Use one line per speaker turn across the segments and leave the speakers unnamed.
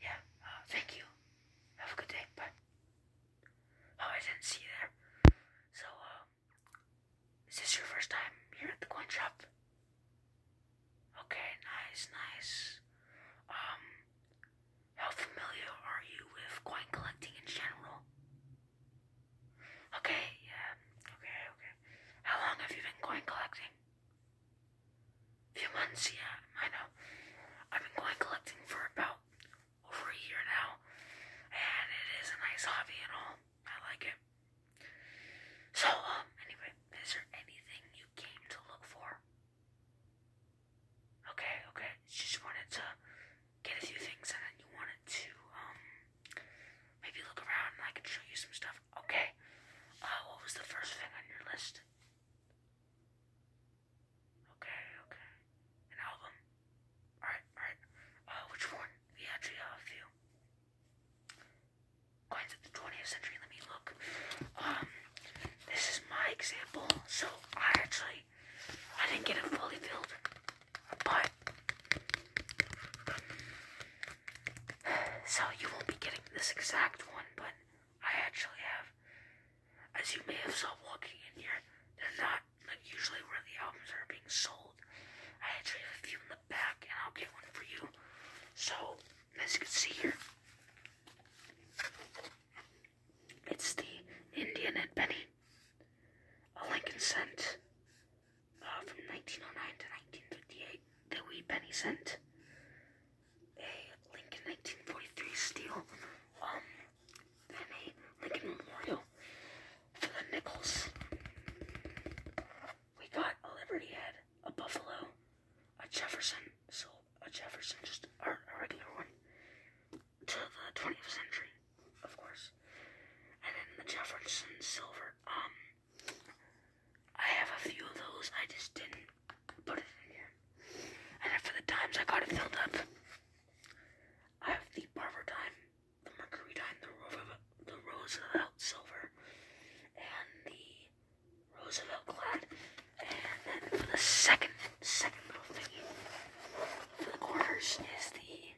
Yeah, oh, thank you. Have a good day. Bye. Oh, I didn't see you there. So, um, is this your first time here at the coin shop? Okay, nice, nice. Um, how familiar are you with coin collecting in general? Okay, yeah, okay, okay. How long have you been coin collecting? few months, yeah, I know. I've been going collecting for about over a year now, and it is a nice hobby and all. I like it. So, um, anyway, is there anything you came to look for? Okay, okay, just wanted to get a few things and then you wanted to, um, maybe look around and I could show you some stuff. Okay, uh, what was the first thing on your list? Okay, okay. An album. Alright, alright. Uh, which one? We actually have a few. Coins of the 20th century, let me look. Um, this is my example, so I actually, I didn't get it fully filled, but So you won't be getting this exact one, but I actually have. As you may have saw walking in here, they're not like usually where the albums are being sold. I actually have a few in the back, and I'll get one for you. So, as you can see here, it's the Indian Head Penny, a Lincoln cent uh, from 1909 to 1958 the wee penny cent, a Lincoln 1943 steel, um, and Lincoln Memorial for the nickels. We got a Liberty Head, a Buffalo, a Jefferson, so a Jefferson, just a, a regular one, to the 20th century, of course, and then the Jefferson Silver, um, I have a few of those. I just didn't put it in here. And for the times I got it filled up, I have the Barber Time, the Mercury Time, the, Ro the Roosevelt Silver, and the Roosevelt clad. And then for the second, second little thingy for the quarters is the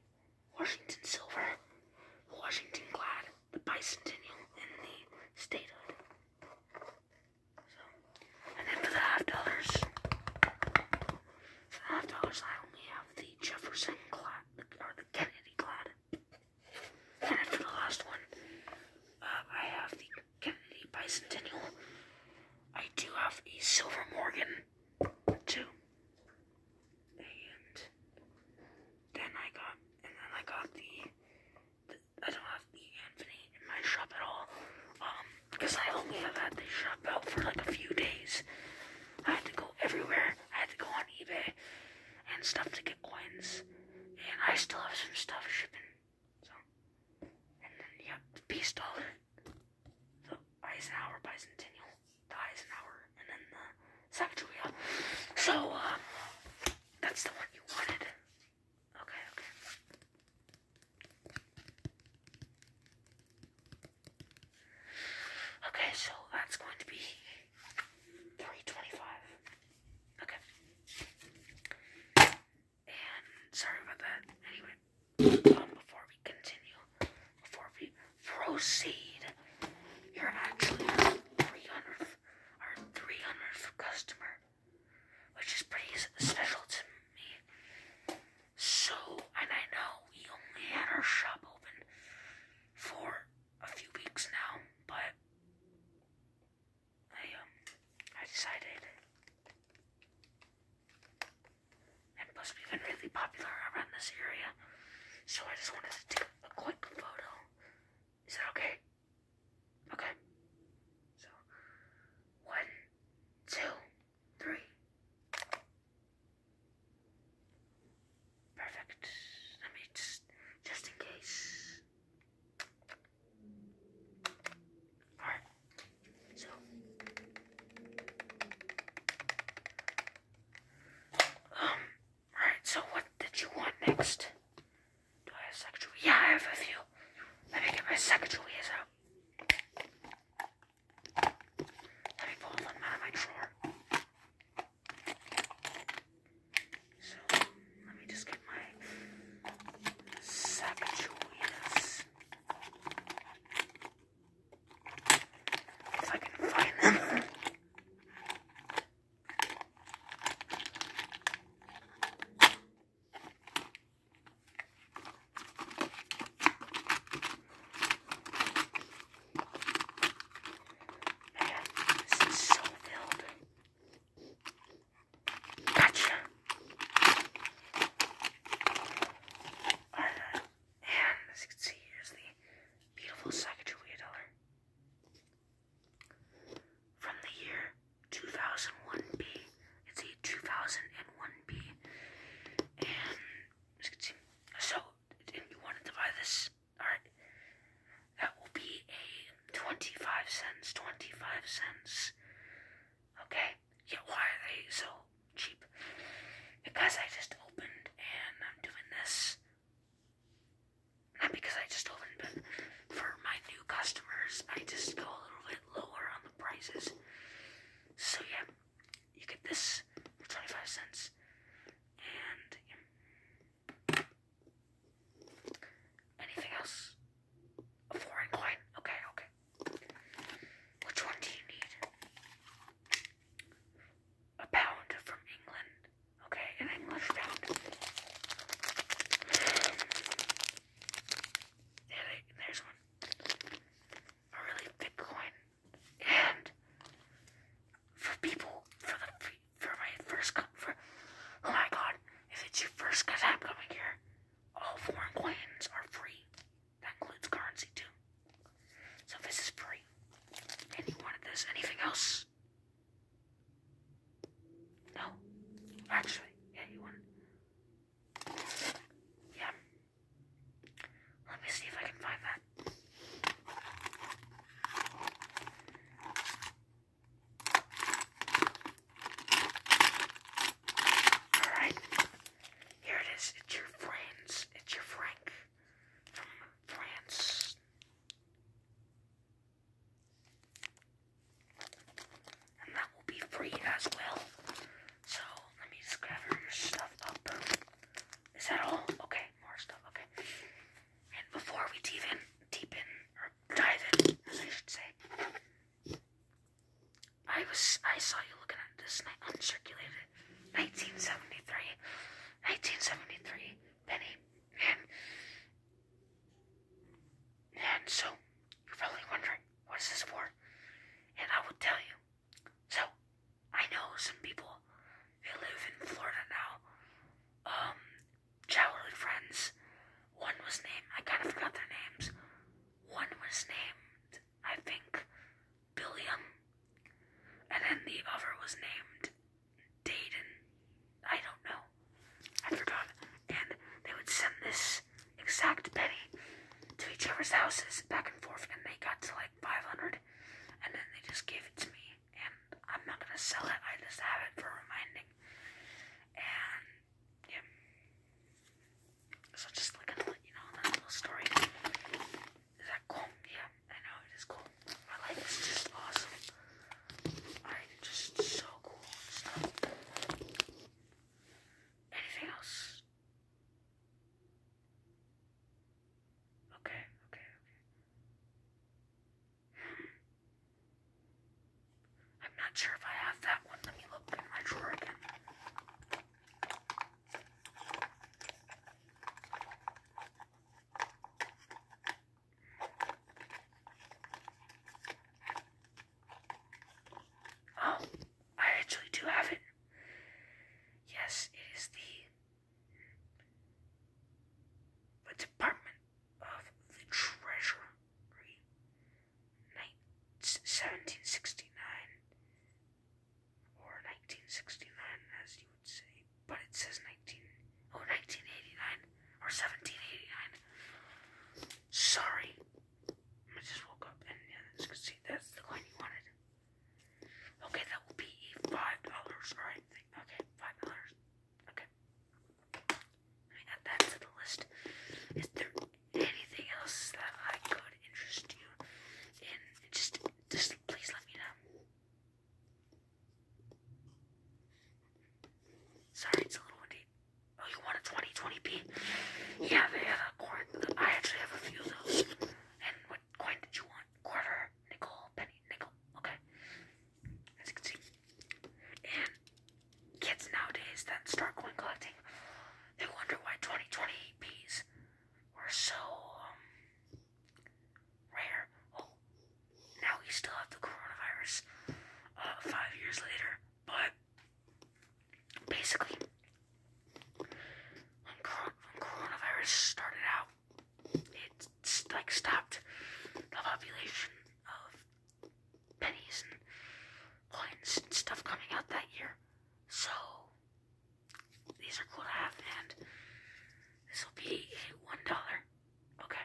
Washington Silver, Washington clad the bicentennial in the statehood. So, and then for the half dollars, for the half dollars, I only have the Jefferson Glad or the Kennedy Glad. And then for the last one, um, I have the Kennedy Bicentennial. I do have a Silver Morgan too. And then I got, and then I got the, I don't have the Anthony in my shop at all, um, because I only have had the shop out for like a few days. I had to go everywhere. I had to go on eBay and stuff to get coins, and I still have some stuff shipping. So, and then yeah, the Peace Dollar, the Eisenhower Bicentennial. So, uh, that's the one you wanted. Okay, okay. Okay, so that's going to be 325. Okay. And sorry about that. Anyway, um, before we continue, before we Proceed. You're actually our 300th, our 300th customer, which is pretty special to me. So, and I know we only had our shop open for a few weeks now, but I um I decided and plus we've been really popular around this area. So I just wanted to take a quick photo. Is that okay? Okay. So one, two, three. Perfect. Let me just just in case. Alright. So um, alright, so what did you want next? Do I have a secretary? Yeah, I have a few. Let me get my secretaries out. Let me pull them out of my drawer. So, let me just get my secretaries. If I can find them. this is so filled. Gotcha. Alright. And as you can see, here's the beautiful Sacagawea dollar. From the year 2001B, it's a 2001B. And as you can see, so if you wanted to buy this, alright, that will be a 25 cents, 25 cents. Okay, yeah, why are they so cheap? Because I just opened and I'm doing this. Not because I just opened, but for my new customers, I just go a little bit lower on the prices. So yeah, you get this for 25 cents. And anything else? A foreign coin? Okay, okay. Which one do you need? A pound from England. Okay, an English pound. There there's one. A really big coin. And for people, for the for my first for oh my god, if it's your first cause I'm here, all foreign coins are free. That includes currency too. So this is free. And you wanted this. Anything else? No. Actually, yeah, you wanted. Yeah. Let me see if I can find that. Alright. Here it is. It's your friends. It's your Frank from France. And that will be free as well. So let me just gather your stuff up. Is that all? Okay, more stuff. Okay. And before we deep in, dive in, I should say, I was I saw you looking at this and I uncirculated 1973. 1973 penny. And and so you're probably wondering, what is this for? And I will tell you. So I know some people they live in Florida now. childhood um, friends. One was named I kinda forgot their names. One was named, I think, Billiam, and then the other was named Dayton. I don't know. I forgot. And they would send this exact penny to each other's houses back and forth, and they got to like 500, and then they just gave it to me. And I'm not gonna sell it, I just have it for reminding. And yeah. So just like gonna let you know that little story. Is that cool? Yeah, I know it is cool. My life is just awesome. I'm just so cool and stuff. Anything else? Okay, okay, okay. I'm not sure if I have that one. Let me look in my drawer again. Oh, I actually do have it. Yes, it is the, Department of the Treasury, 1769 or 1969, as you would say, but it says 19, 1989 or 1789. Sorry, I just woke up and yeah, as you can see, that's the coin you wanted. Okay, that will be five dollars, right? Okay, five dollars. Okay. I add that to the list. Is there anything else that I could interest you in? Just, just please let me know. Sorry, it's a little windy. Oh, you want a 20 20p? Yeah, they have a quarter. I actually have a few of those. And what coin did you want? Quarter, nickel, penny, nickel. Okay as you can see. And kids nowadays that start coin collecting, they wonder why 2020 EPs were so um, rare. Oh, now we still have the coronavirus uh, five years later, but basically, when, coronavirus started out, it like stopped the population of pennies and coins and stuff coming out that year. So these are cool to have, and this will be a one dollar. Okay.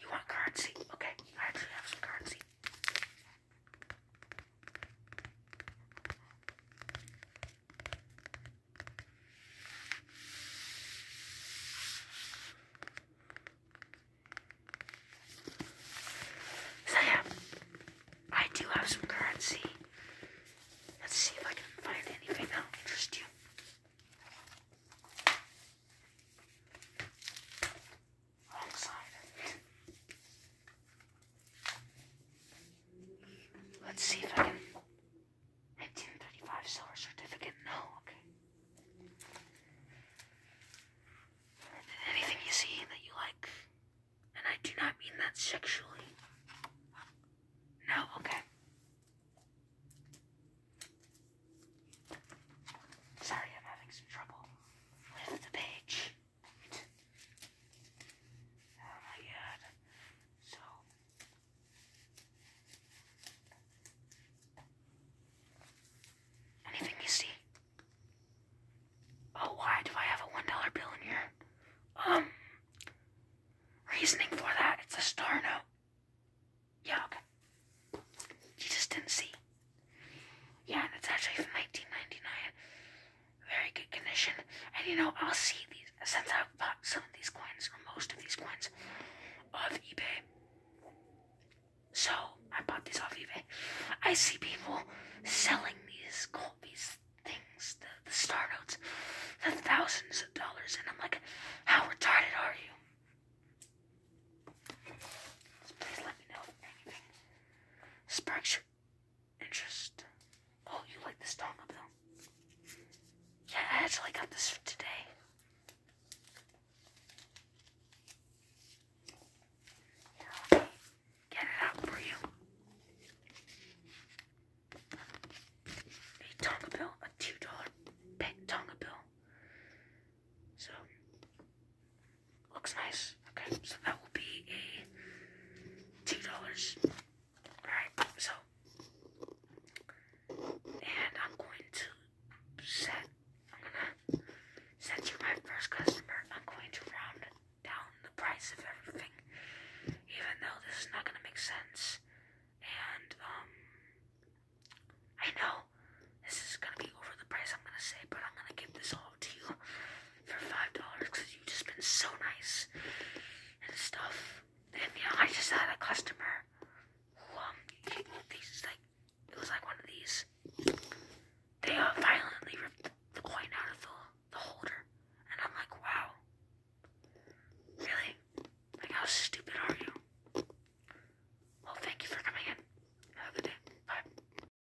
You want currency? Okay, I actually have some currency. So yeah, I do have some currency. Let's see if I can find anything that'll interest you. Wrong side. Let's see if I can. 1935 silver certificate. No, okay. Anything you see that you like, and I do not mean that sexually. No, okay. Sorry, I'm having some trouble with the page. Oh my god. So anything you see? Oh, why do I have a one dollar bill in here? Um, reasoning for that, it's a star note. Yeah, okay. You just didn't see. Yeah, and it's actually from 1999 very good condition. And you know, I'll see these since I've bought some of these coins or most of these coins off eBay. So I bought these off eBay. I see people selling these gold, these things, the, the star notes, for thousands of dollars, and I'm like, how retarded are you? please let me know sparks interest. Oh, you like this Tonga bill? Yeah, I actually got this today. Here, get it out for you. A Tonga bill, a two dollar pet Tonga bill. So Looks nice. Okay, so that will be a two dollars. Alright, so and I'm going to set I'm gonna since you're my first customer, I'm going to round down the price of everything. Even though this is not gonna make sense. And um I know this is gonna be over the price I'm gonna say, but I'm gonna give this all to you for five dollars because you've just been so nice and stuff. And yeah, I just had a customer who um these like it was like one of these. They uh, violently ripped the coin out of the, the holder, and I'm like, wow, really? Like how stupid are you? Well, thank you for coming in. Have a good day. Bye.